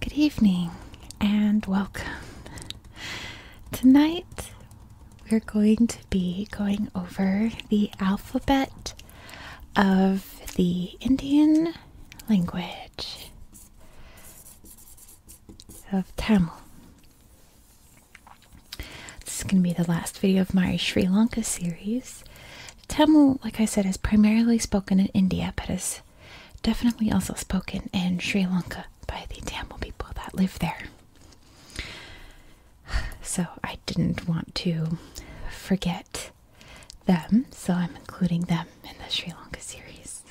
Good evening and welcome. Tonight we're going to be going over the alphabet of the Indian language of Tamil. This is going to be the last video of my Sri Lanka series. Tamil, like I said, is primarily spoken in India, but is definitely also spoken in Sri Lanka by the Tamil people that live there. So I didn't want to forget them, so I'm including them in the Sri Lanka series.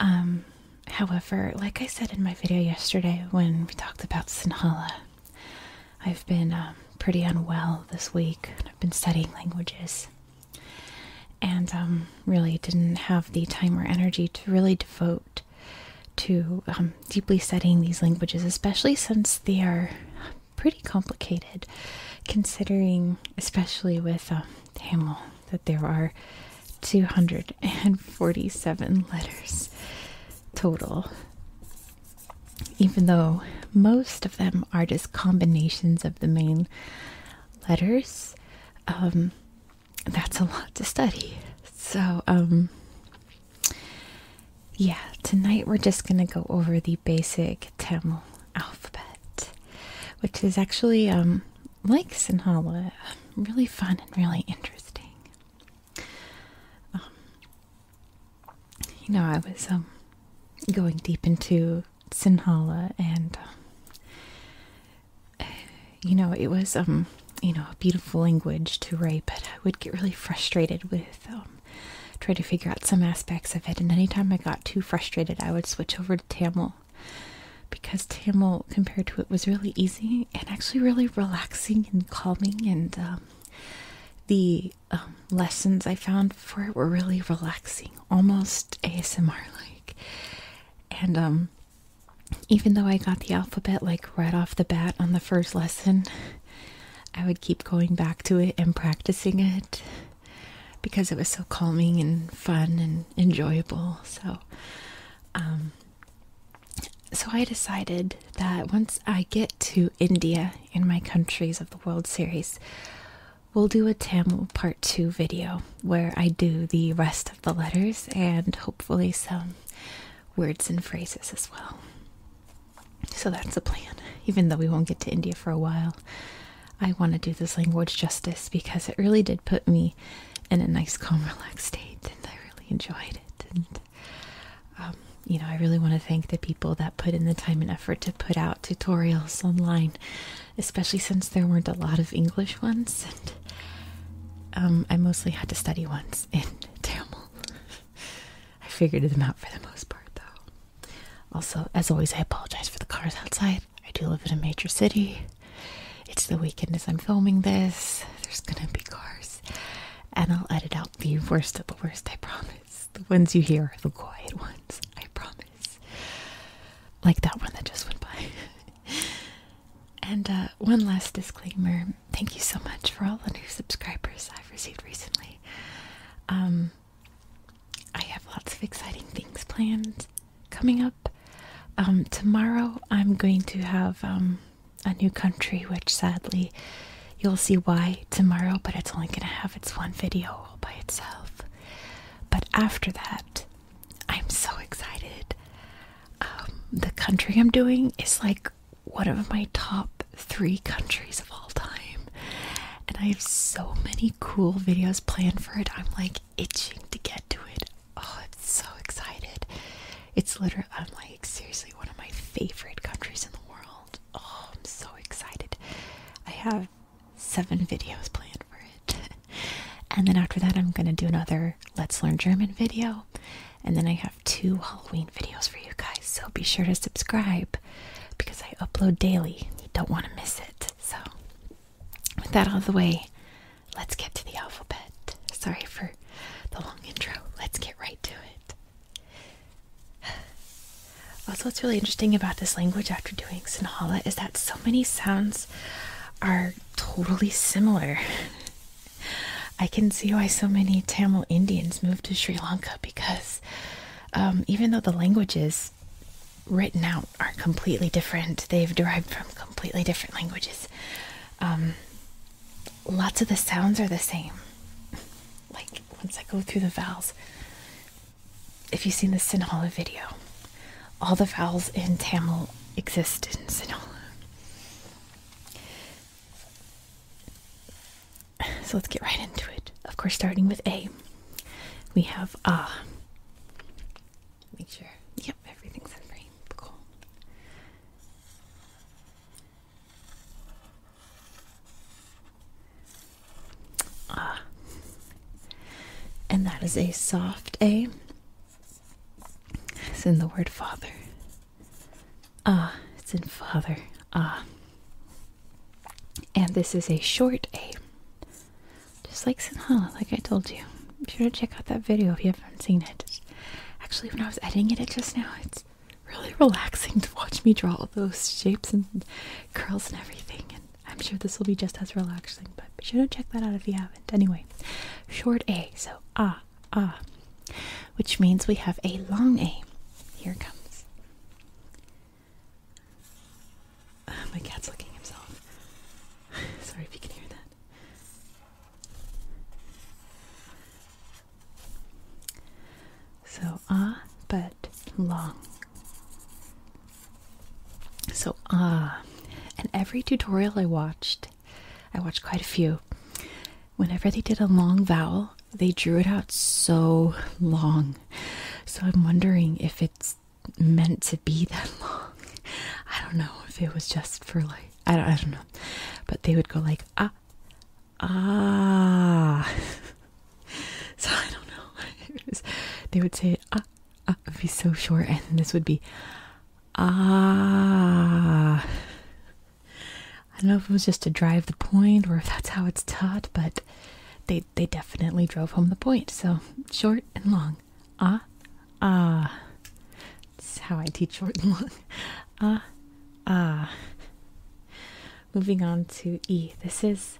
Um, however, like I said in my video yesterday when we talked about Sinhala, I've been um, pretty unwell this week. I've been studying languages and um, really didn't have the time or energy to really devote to deeply studying these languages, especially since they are pretty complicated, considering, especially with Tamil, that there are 247 letters total, even though most of them are just combinations of the main letters. Um, that's a lot to study. So, um, yeah, tonight we're just going to go over the basic Tamil alphabet, which is actually, um, like Sinhala, really fun and really interesting you know, I was um, going deep into Sinhala, and uh, you know, it was um, you know, a beautiful language to write, but I would get really frustrated with um, trying to figure out some aspects of it. And anytime I got too frustrated, I would switch over to Tamil because Tamil, compared to it, was really easy and actually really relaxing and calming. And um, the um, lessons I found for it were really relaxing, almost ASMR like. And um, even though I got the alphabet like right off the bat on the first lesson, I would keep going back to it and practicing it because it was so calming and fun and enjoyable. So, so I decided that once I get to India in my countries of the World Series, we'll do a Tamil part 2 video where I do the rest of the letters and hopefully some words and phrases as well. So that's the plan. Even though we won't get to India for a while, I want to do this language justice because it really did put me in a nice calm relaxed state and I really enjoyed it and um, you know I really want to thank the people that put in the time and effort to put out tutorials online especially since there weren't a lot of English ones and um, I mostly had to study ones in Tamil I figured them out for the most part though also as always I apologize for the cars outside I do live in a major city it's the weekend as I'm filming this. There's gonna be cars. And I'll edit out the worst of the worst, I promise. The ones you hear are the quiet ones, I promise. Like that one that just went by. and uh, one last disclaimer thank you so much for all the new subscribers I've received recently. Um, I have lots of exciting things planned coming up. Um, tomorrow I'm going to have um, a new country, which sadly you'll see why tomorrow, but it's only going to have its one video all by itself. But after that, I'm so excited. Um, the country I'm doing is like one of my top three countries of all time, and I have so many cool videos planned for it. I'm like itching to get to it oh, I'm so excited. It's literally, I'm like, seriously, one of my favorite countries in the world. Oh, I'm so excited. I have seven videos planned for it. and then after that, I'm going to do another Let's Learn German video. And then I have two Halloween videos for you guys. So be sure to subscribe because I upload daily. You don't want to miss it. So, with that out of the way, Let's get to the alphabet. Sorry for the long intro. Let's get right to it. Also, what's really interesting about this language after doing Sinhala is that so many sounds are totally similar. I can see why so many Tamil Indians moved to Sri Lanka because um, even though the languages written out are completely different, they've derived from completely different languages. Um, lots of the sounds are the same. Like once I go through the vowels, if you've seen the Sinhala video, all the vowels in Tamil exist in Sinhala. So let's get right into it. Of course, starting with A, we have ah. Make sure, yep, everything's in frame. Cool. Ah. And that is a soft A, it's in the word father. Ah, it's in father. Ah. And this is a short A, just like Sinhala, like I told you be sure to check out that video if you haven't seen it. actually, when I was editing it just now, it's really relaxing to watch me draw all those shapes and curls and everything. And I'm sure this will be just as relaxing, but be sure to check that out if you haven't. Anyway, short A, so ah, ah, which means we have a long A. Here comes. Oh, my cat's looking himself. Sorry if you can hear that. So ah, but long. So ah, and every tutorial I watched, I watched quite a few. Whenever they did a long vowel, they drew it out so long. So I'm wondering if it's meant to be that long. I don't know if it was just for like I don't, know. But they would go like, ah, ah. so I don't know. they would say, ah, ah. be so short. And this would be, ah. I don't know if it was just to drive the point or if that's how it's taught, but they they definitely drove home the point. So short and long. Ah, ah. It's how I teach short and long. Ah, ah. Moving on to E. This is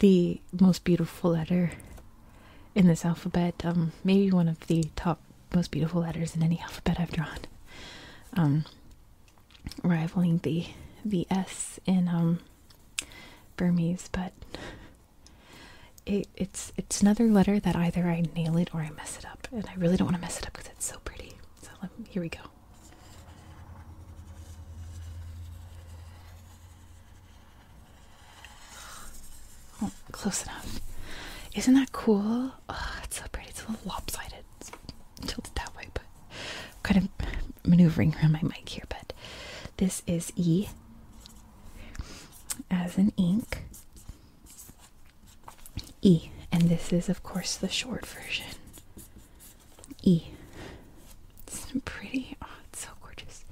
the most beautiful letter in this alphabet. Um, maybe one of the top most beautiful letters in any alphabet I've drawn. Um, rivaling the the S in um Burmese, but it's it's another letter that either I nail it or I mess it up, and I really don't want to mess it up because it's so pretty. So here we go. Oh, close enough. Isn't that cool? Oh, it's so pretty. It's a little lopsided. tilted that way, but kind of maneuvering around my mic here. But this is E as in ink. E, and this is, of course, the short version. E. It's pretty. Oh, it's so gorgeous.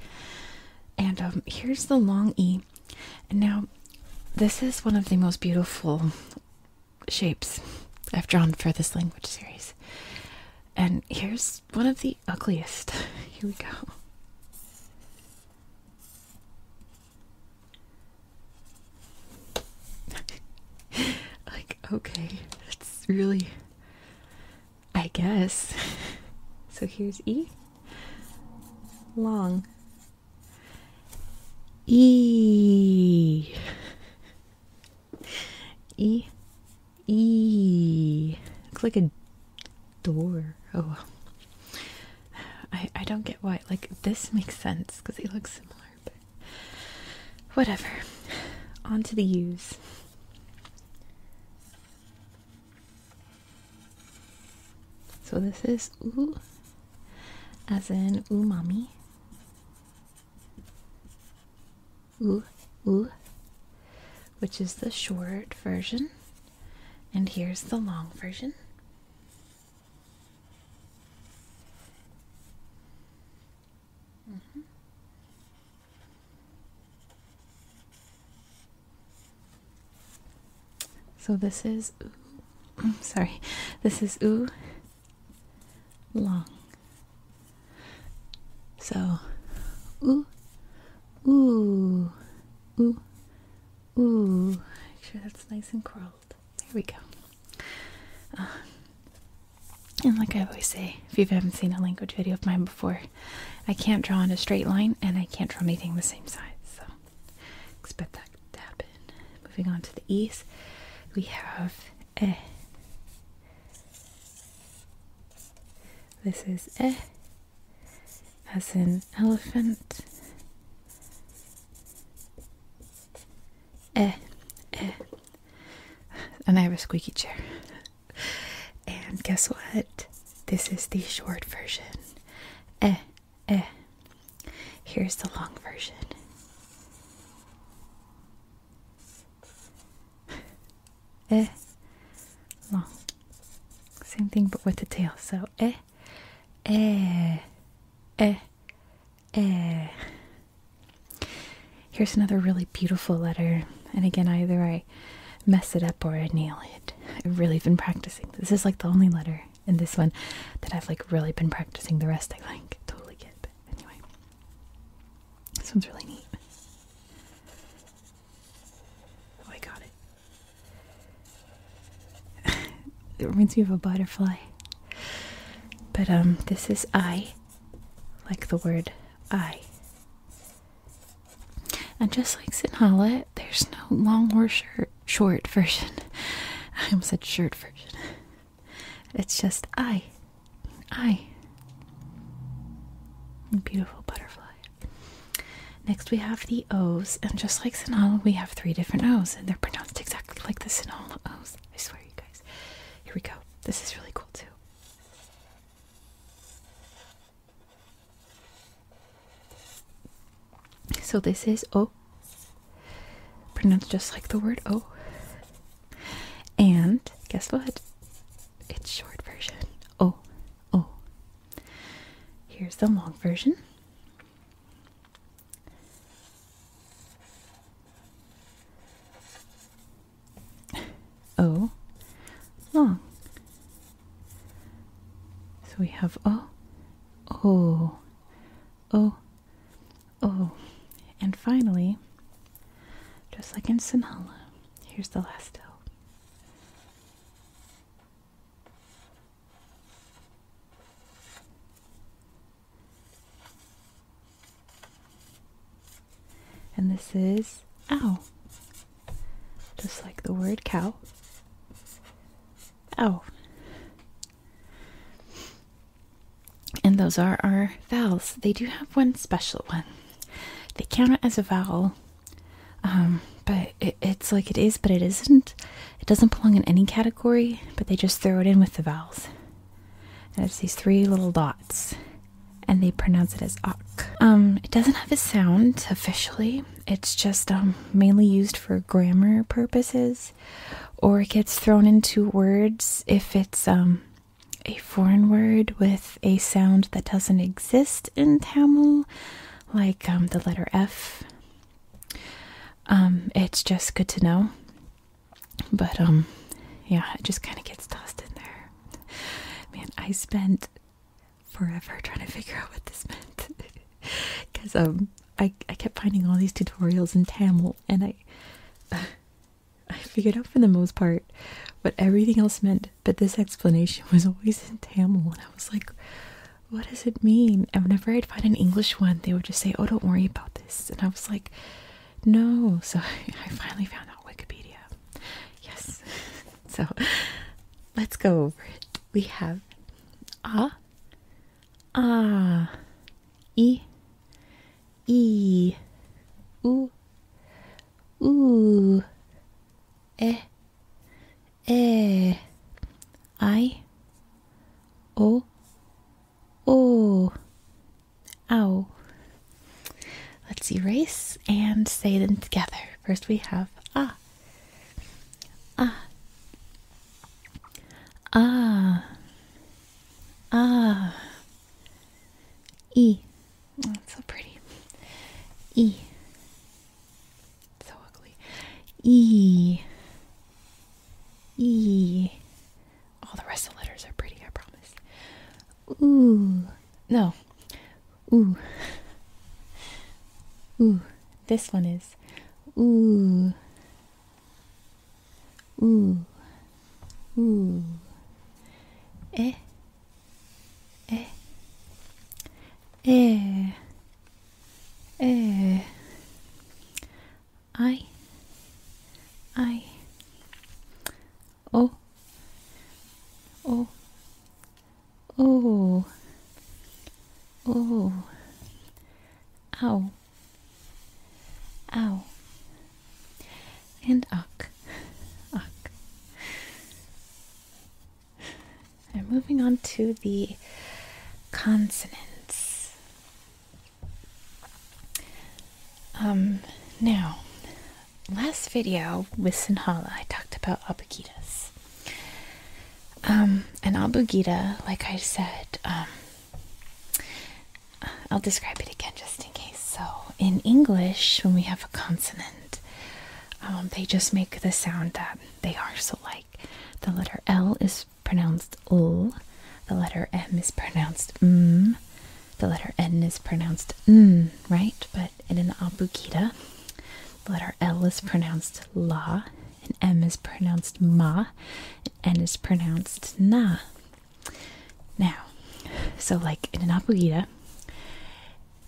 And um, here's the long E. And now, this is one of the most beautiful shapes I've drawn for this language series. And here's one of the ugliest. Here we go. like, okay, that's really. I guess. so here's E. Long. E. E. E. Looks like a door. Oh, I I don't get why. Like this makes sense because it looks similar, but whatever. On to the U's. So this is u, as in umami. Ooh, ooh, which is the short version, and here's the long version. Mm -hmm. So this is, ooh, sorry, this is ooh long. So ooh, ooh, ooh, Ooh, make sure that's nice and curled. There we go. Uh, and like I always say, if you haven't seen a language video of mine before, I can't draw on a straight line and I can't draw anything the same size. So expect that to happen. Moving on to the east, we have eh. This is eh as an elephant. Eh, eh. And I have a squeaky chair. And guess what? This is the short version. Eh, eh. Here's the long version. Eh, long. Same thing but with the tail. So, eh, Eh, eh, eh. Here's another really beautiful letter, and again, either I mess it up or I nail it. I've really been practicing. This is like the only letter in this one that I've like really been practicing. The rest I think, totally get, but anyway, this one's really neat. Oh, I got it it reminds me of a butterfly. But um this is I like the word I. And just like Sinhala, there's no long or short version. I almost said short version. It's just I. I. Beautiful butterfly. Next, we have the O's, and just like Sinhala, we have three different O's, and they're pronounced exactly like the Sinhala O's. I swear, you guys. Here we go. This is really cool, too. So, this is O, pronounced just like the word O. And guess what? It's short version. O, O. Here's the long version. O oh, long. So we have O, O, oh, O, oh, O. And finally, just like in Sinhala, here's the last O. And this is ow. Just like the word cow. Ow. And those are our vowels. They do have one special one. They count it as a vowel. Um, but it's like it is, but it isn't. It doesn't belong in any category, but they just throw it in with the vowels. it's these three little dots, and they pronounce it as "ok." Um, it doesn't have a sound officially. It's just um mainly used for grammar purposes, or it gets thrown into words if it's um a foreign word with a sound that doesn't exist in Tamil, like um the letter F um, it's just good to know. But um yeah, it just kinda gets tossed in there. Man, I spent forever trying to figure out what this meant. Cause um I I kept finding all these tutorials in Tamil and I I figured out for the most part what everything else meant, but this explanation was always in Tamil and I was like what does it mean? And whenever I'd find an English one, they would just say, oh, don't worry about this. And I was like, no. So I finally found out Wikipedia. Yes. so let's go over it. We have ah, ah, e, e i o o Let's erase and say them together. First we have ah ah ah ah e. so pretty. E so ugly. E. E. All the rest of the letters are pretty, I promise. Ooh. No. Ooh. Ooh. This one is. Ooh. Ooh. Ooh. E. Eh. Eh. eh. Uh, I, I, oh, oh, oh, oh, ow, ow, and uck, uck. I'm moving on to the consonants. Um, now, last video with Sinhala, I talked about abugidas. Um, an abugida, like I said, um, I'll describe it again just in case. So, in English, when we have a consonant, um, they just make the sound that they are. So, like the letter L is pronounced L, the letter M is pronounced M, the letter N is pronounced N, right? But in an abugida, the letter L is pronounced La, and M is pronounced Ma, and N is pronounced Na. Now, so like in an abugida,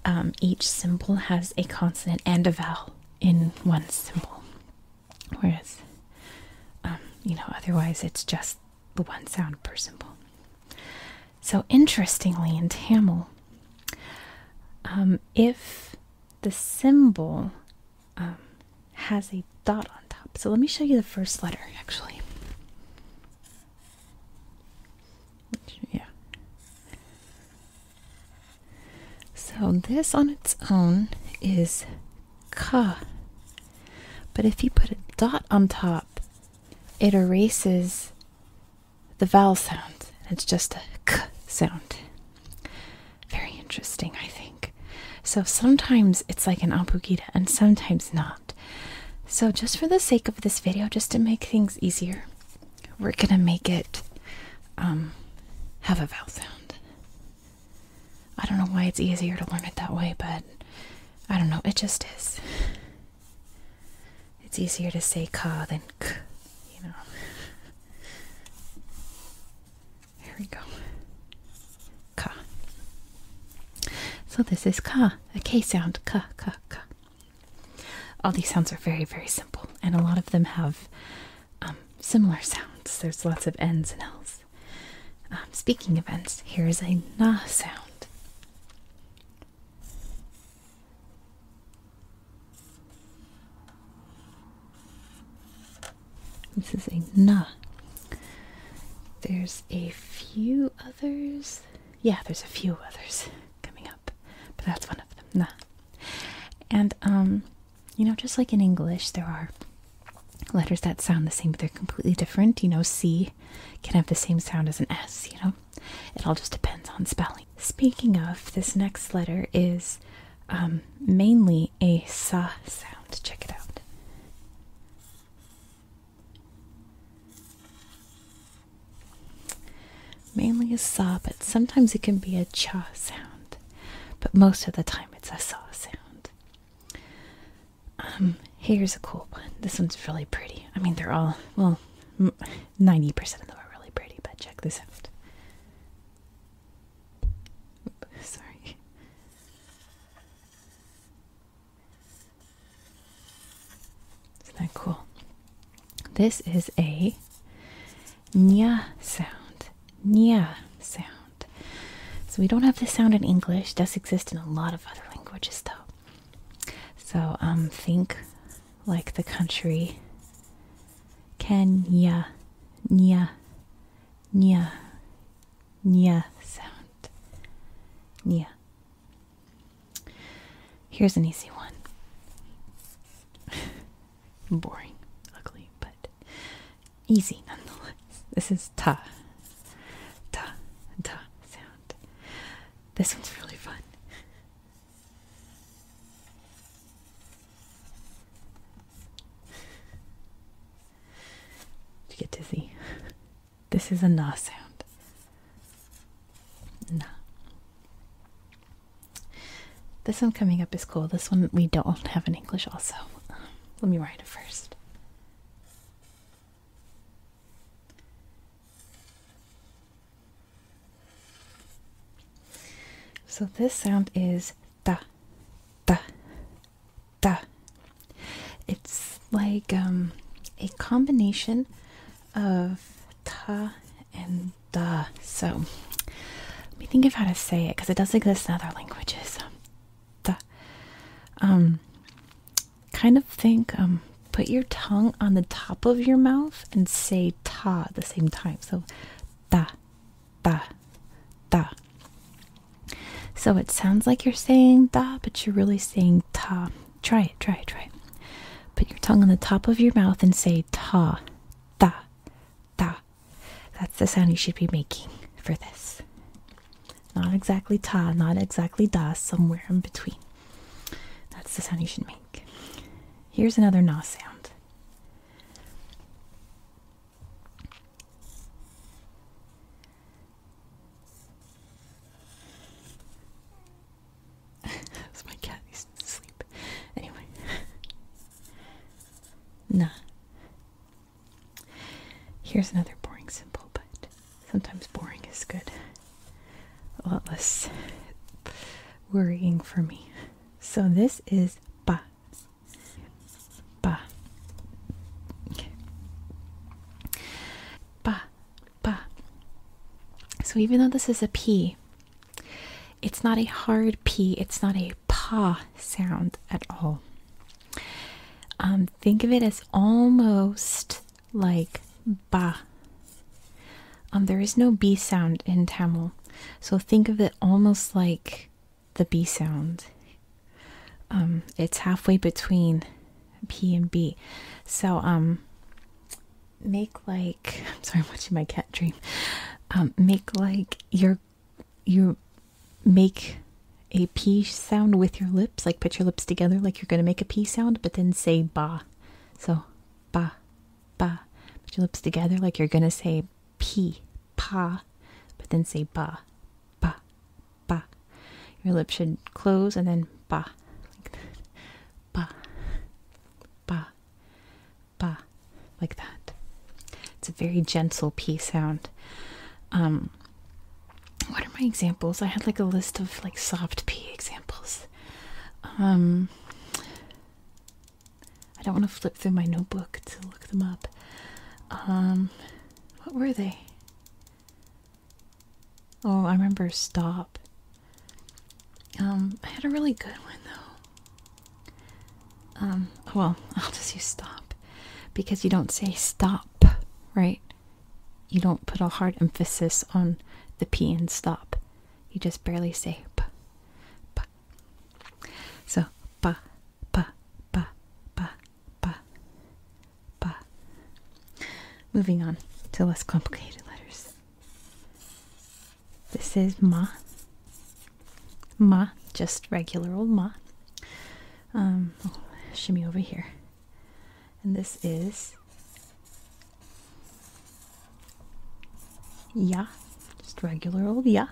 um, each symbol has a consonant and a vowel in one symbol. Whereas, um, you know, otherwise it's just the one sound per symbol. So, interestingly, in Tamil, um, if the symbol um, has a dot on top, so let me show you the first letter actually. Yeah. So this on its own is k, But if you put a dot on top, it erases the vowel sound. It's just a k sound. Very interesting, I think. So sometimes it's like an abugida and sometimes not. So just for the sake of this video, just to make things easier, we're gonna make it um, have a vowel sound. I don't know why it's easier to learn it that way, but I don't know, it just is. It's easier to say ka than k, you know. There we go. Ka. So this is ka, a k sound, ka, ka, ka. All these sounds are very, very simple, and a lot of them have um, similar sounds. There's lots of N's and L's. Um, speaking events. here is a N sound. This is a N. There's a few others. Yeah, there's a few others coming up, but that's one of them. Na. And um, you know, just like in English, there are letters that sound the same, but they're completely different. You know, C can have the same sound as an S, you know? It all just depends on spelling. Speaking of, this next letter is um, mainly a sa sound. Check it out. Mainly a sa, but sometimes it can be a cha sound but most of the time it's a saw sound. Um, here's a cool one. This one's really pretty. I mean, they're all, well, 90% of them are really pretty, but check this out. sorry. Isn't that cool? This is a nya sound. Nya sound. So we don't have this sound in English. It does exist in a lot of other languages though. So um think like the country Kenya nya nya nya sound. Nya. Here's an easy one. boring, ugly, but easy nonetheless. This is ta, ta, ta sound. This one's really fun. Did you get dizzy? This is a na sound. Na. This one coming up is cool. This one we don't have in English, also. let me write it first. So this sound is da, da, da. It's like um, a combination of ta and the. Uh, so let me think of how to say it because it does exist in other languages. The, um, kind of think, um, put your tongue on the top of your mouth and say ta at the same time. So da, da, da. So it sounds like you're saying da, but you're really saying ta. Try it, try it, try it. Put your tongue on the top of your mouth and say ta, da, ta. That's the sound you should be making for this. Not exactly ta, not exactly da, somewhere in between. That's the sound you should make. Here's another na sound. my cat. He's asleep. Anyway, Nah. Here's another boring simple, but sometimes boring is good. A lot less worrying for me. So this is ba. Ba. Ba. Ba. So even though this is a P, it's not a hard P, it's not a pa sound at all. Um, think of it as almost like ba. Um, there is no B sound in Tamil, so think of it almost like the B sound. Um, it's halfway between P and B. So, um, make like, I'm sorry, I'm watching my cat dream. Um, make like your you make a p sound with your lips, like put your lips together like you're going to make a p sound, but then say ba. So ba, ba. Put your lips together like you're going to say p, pa, but then say ba, ba, ba. Your lips should close and then ba, like that. Ba, ba, ba, like that. It's a very gentle p sound. Um, what are my examples? I had like a list of like soft p examples. Um, I don't want to flip through my notebook to look them up. Um, what were they? Oh, I remember stop. Um, I had a really good one though. Um, well, I'll just use stop because you don't say stop, right? You don't put a hard emphasis on the P in stop. You just barely say p. p. So, ba, ba, ba, ba, ba, ba. Moving on to less complicated letters. This is ma. Ma, just regular old ma. Um, shimmy over here. And this is ya, just regular old ya.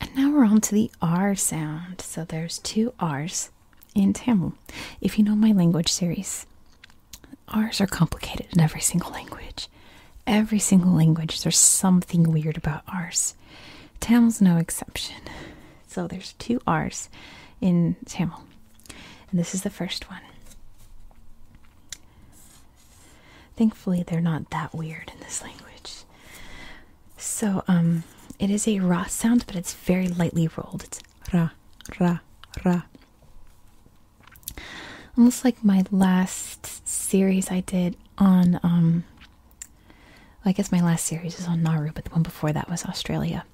And now we're on to the R sound. So there's two R's in Tamil. If you know my language series, R's are complicated in every single language. Every single language, there's something weird about R's. Tamil's no exception. So there's two R's in Tamil. And this is the first one. Thankfully, they're not that weird in this language. So, um, it is a raw sound, but it's very lightly rolled. It's ra, ra, ra almost like my last series I did on um I guess my last series is on Nauru, but the one before that was Australia.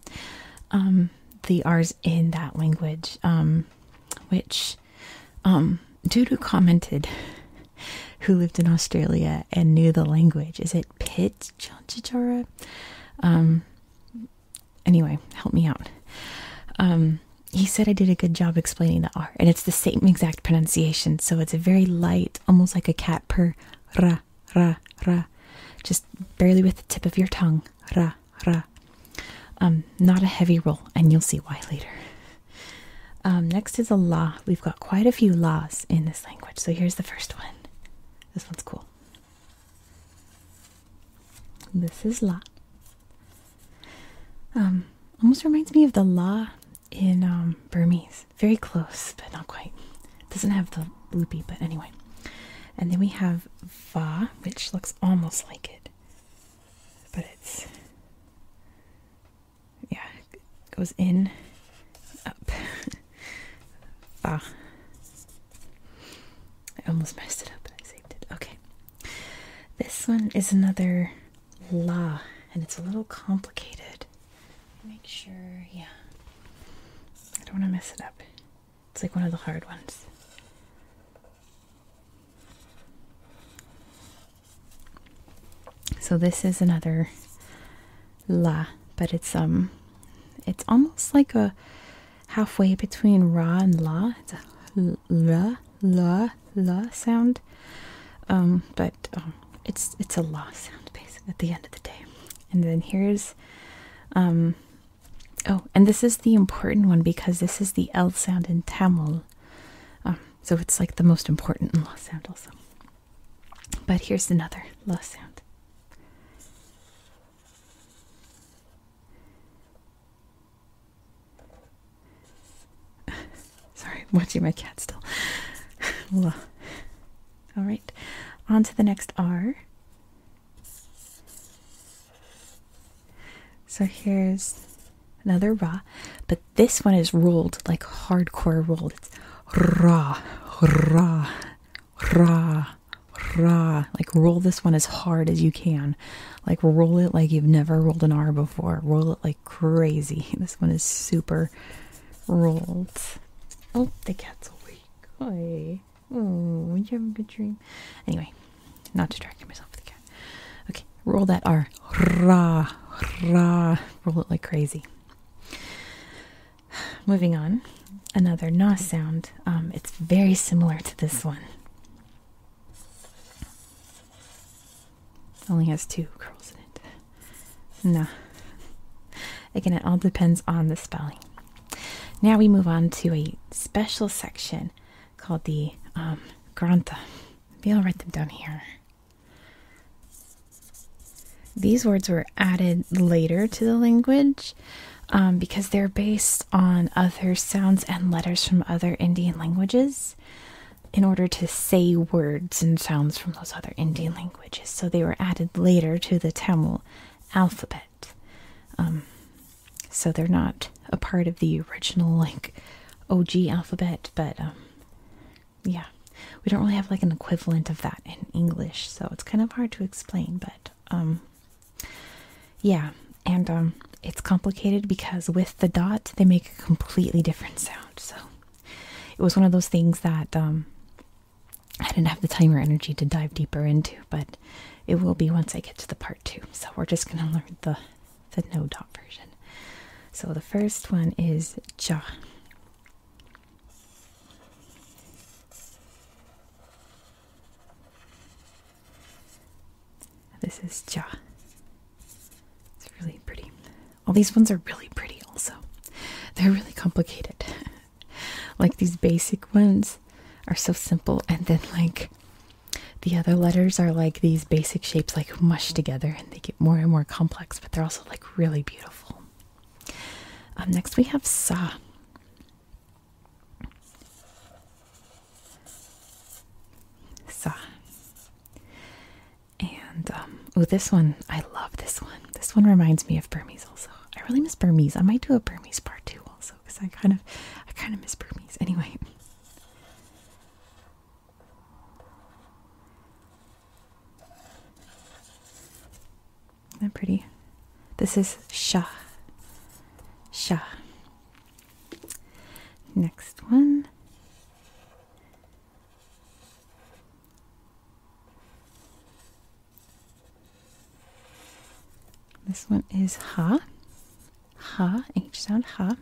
Um, the R's in that language, um, which um, Dudu commented, who lived in Australia and knew the language. Is it Pit Chanchichara? Um, anyway, help me out. Um, he said I did a good job explaining the R, and it's the same exact pronunciation, so it's a very light, almost like a cat purr, ra, ra, ra, just barely with the tip of your tongue, ra, ra. Um, not a heavy roll, and you'll see why later. Um, next is a la. We've got quite a few la's in this language, so here's the first one. This one's cool. This is la. Um, almost reminds me of the la in um, Burmese. Very close, but not quite. Doesn't have the loopy, but anyway. And then we have va, which looks almost like it, but it's yeah, goes in up. va. I almost messed it up, but I saved it. Okay. This one is another la, and it's a little complicated. Make sure, yeah. I don't want to mess it up. It's like one of the hard ones. So this is another la, but it's um it's almost like a halfway between ra and la la la la sound, um, but um, it's it's a la sound at the end of the day. And then here's, um, oh, and this is the important one because this is the L sound in Tamil, um, so it's like the most important la sound also. But here's another la sound. Sorry, I'm watching my cat still. All right, on to the next R. So here's another ra, but this one is rolled like hardcore rolled. It's ra, ra, ra, ra. Like roll this one as hard as you can. Like roll it like you've never rolled an R before. Roll it like crazy. This one is super rolled. Oh, the cat's awake. Oh, you have a good dream? Anyway, not distracting myself with the cat. Okay, roll that R. Ra, ra. Roll it like crazy. Moving on, another na sound. Um, it's very similar to this one only has two curls in it. No. Again, it all depends on the spelling. Now we move on to a special section called the Grantha. Um, Granta. Maybe I'll write them down here. These words were added later to the language um, because they're based on other sounds and letters from other Indian languages in order to say words and sounds from those other Indian languages. So they were added later to the Tamil alphabet. Um, so they're not a part of the original, like, OG alphabet, but um, yeah, we don't really have like an equivalent of that in English, so it's kind of hard to explain, but um, yeah, and um, it's complicated because with the dot they make a completely different sound. So it was one of those things that um, I didn't have the time or energy to dive deeper into, but it will be once I get to the part two. So we're just gonna learn the the no dot version. So the first one is ja. This is Ja. It's really pretty. All these ones are really pretty, also. They're really complicated. like these basic ones are so simple, and then like the other letters are like these basic shapes, like mushed together, and they get more and more complex, but they're also like really beautiful. Um, next, we have Sa. So, and oh, this one I love. This one. This one reminds me of Burmese. Also, I really miss Burmese. I might do a Burmese part too, also because I kind of, I kind of miss Burmese. Anyway. Isn't pretty? This is Shah. Shah. Next one this one is ha, ha, H sound, ha.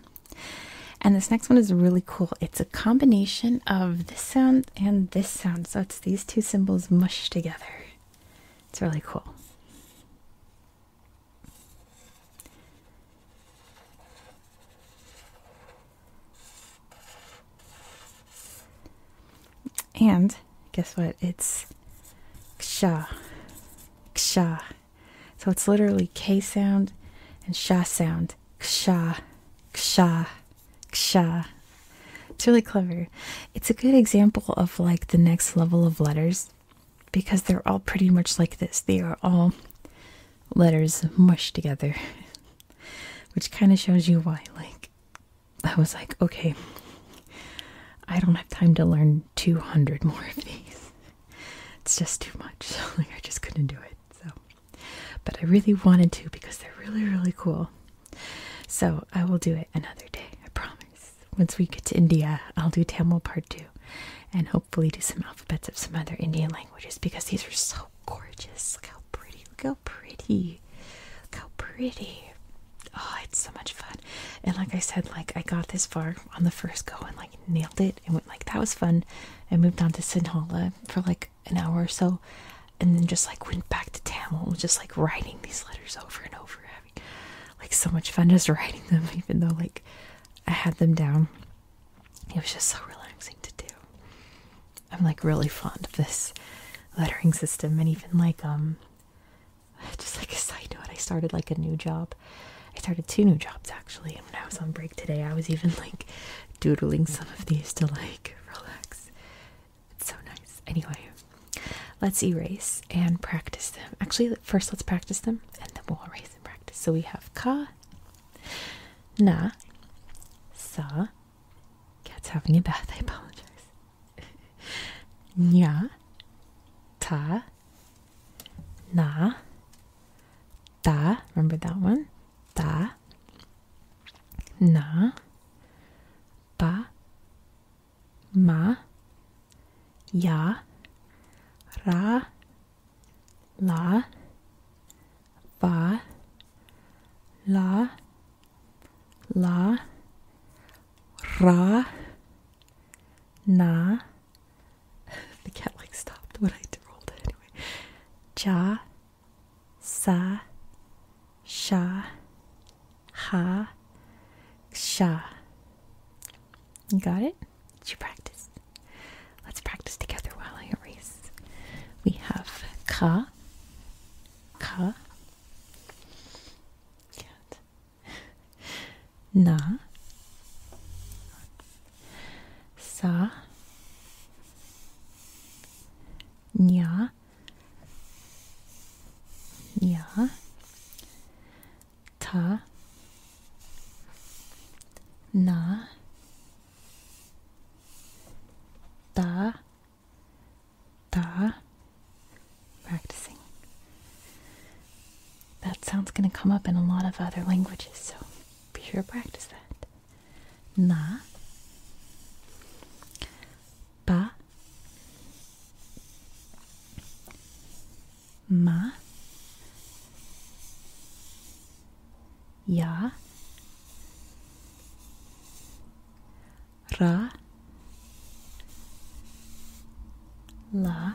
And this next one is really cool. It's a combination of this sound and this sound. So it's these two symbols mushed together. It's really cool. And guess what? It's ksha. Ksha. So it's literally K sound and sha sound. Ksha. Ksha. Ksha. It's really clever. It's a good example of like the next level of letters because they're all pretty much like this. They are all letters mushed together, which kind of shows you why. Like, I was like, okay, I don't have time to learn 200 more of these. It's just too much. like, I just couldn't do it. So, but I really wanted to because they're really, really cool. So, I will do it another day, I promise. Once we get to India, I'll do Tamil part two and hopefully do some alphabets of some other Indian languages because these are so gorgeous. Look how pretty. Look how pretty. Look how pretty. Oh, it's so much fun. And like I said, like I got this far on the first go and like nailed it and went like that was fun. And moved on to Sinhala for like an hour or so and then just like went back to Tamil just like writing these letters over and over having like so much fun just writing them even though like I had them down it was just so relaxing to do. I'm like really fond of this lettering system, and even like, um, just like a side note, I started like a new job. I started two new jobs actually, and when I was on break today, I was even like doodling some of these to like relax. It's so nice. Anyway, let's erase and practice them. Actually, first let's practice them, and then we'll erase and practice. So we have ka Na, sa, cat's having a bath, I apologize. Nya, ta, na, da, remember that one? Da, na, ba, ma, ya, ra, la va la la ra na the cat like stopped when I rolled it anyway ja sa sha ha sha you got it? Did you practice? Let's practice together while I erase. We have ka, ka, na, sa, nya, nya, ta na da da practicing that sound's going to come up in a lot of other languages so be sure to practice that na ba Ma. Ya. Ra. La.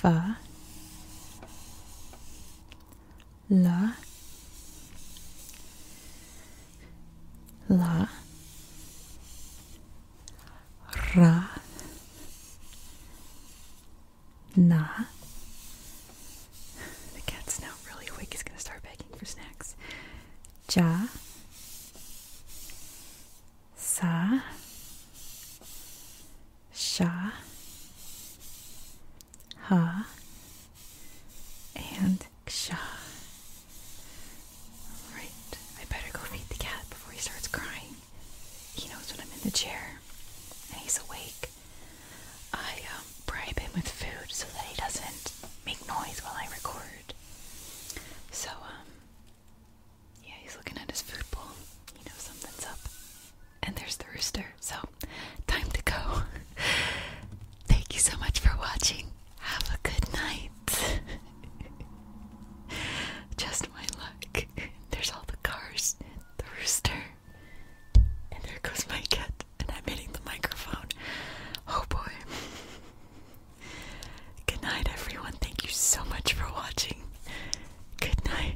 Fa. La. La ra na the cat's now really awake he's gonna start begging for snacks ja sa sha ha and ksha Alright, I better go feed the cat before he starts crying. He knows when I'm in the chair and he's awake. I um, bribe him with food so that he doesn't make noise while I record. So, um, yeah, he's looking at his food bowl. He knows something's up. And there's the rooster. So, time to go. Thank you so much for watching. Have a good night. Just my luck. There's all the cars, the rooster, and there goes my cat, and I'm hitting the microphone. Oh boy. Good night, everyone. Thank you so much for watching. Good night.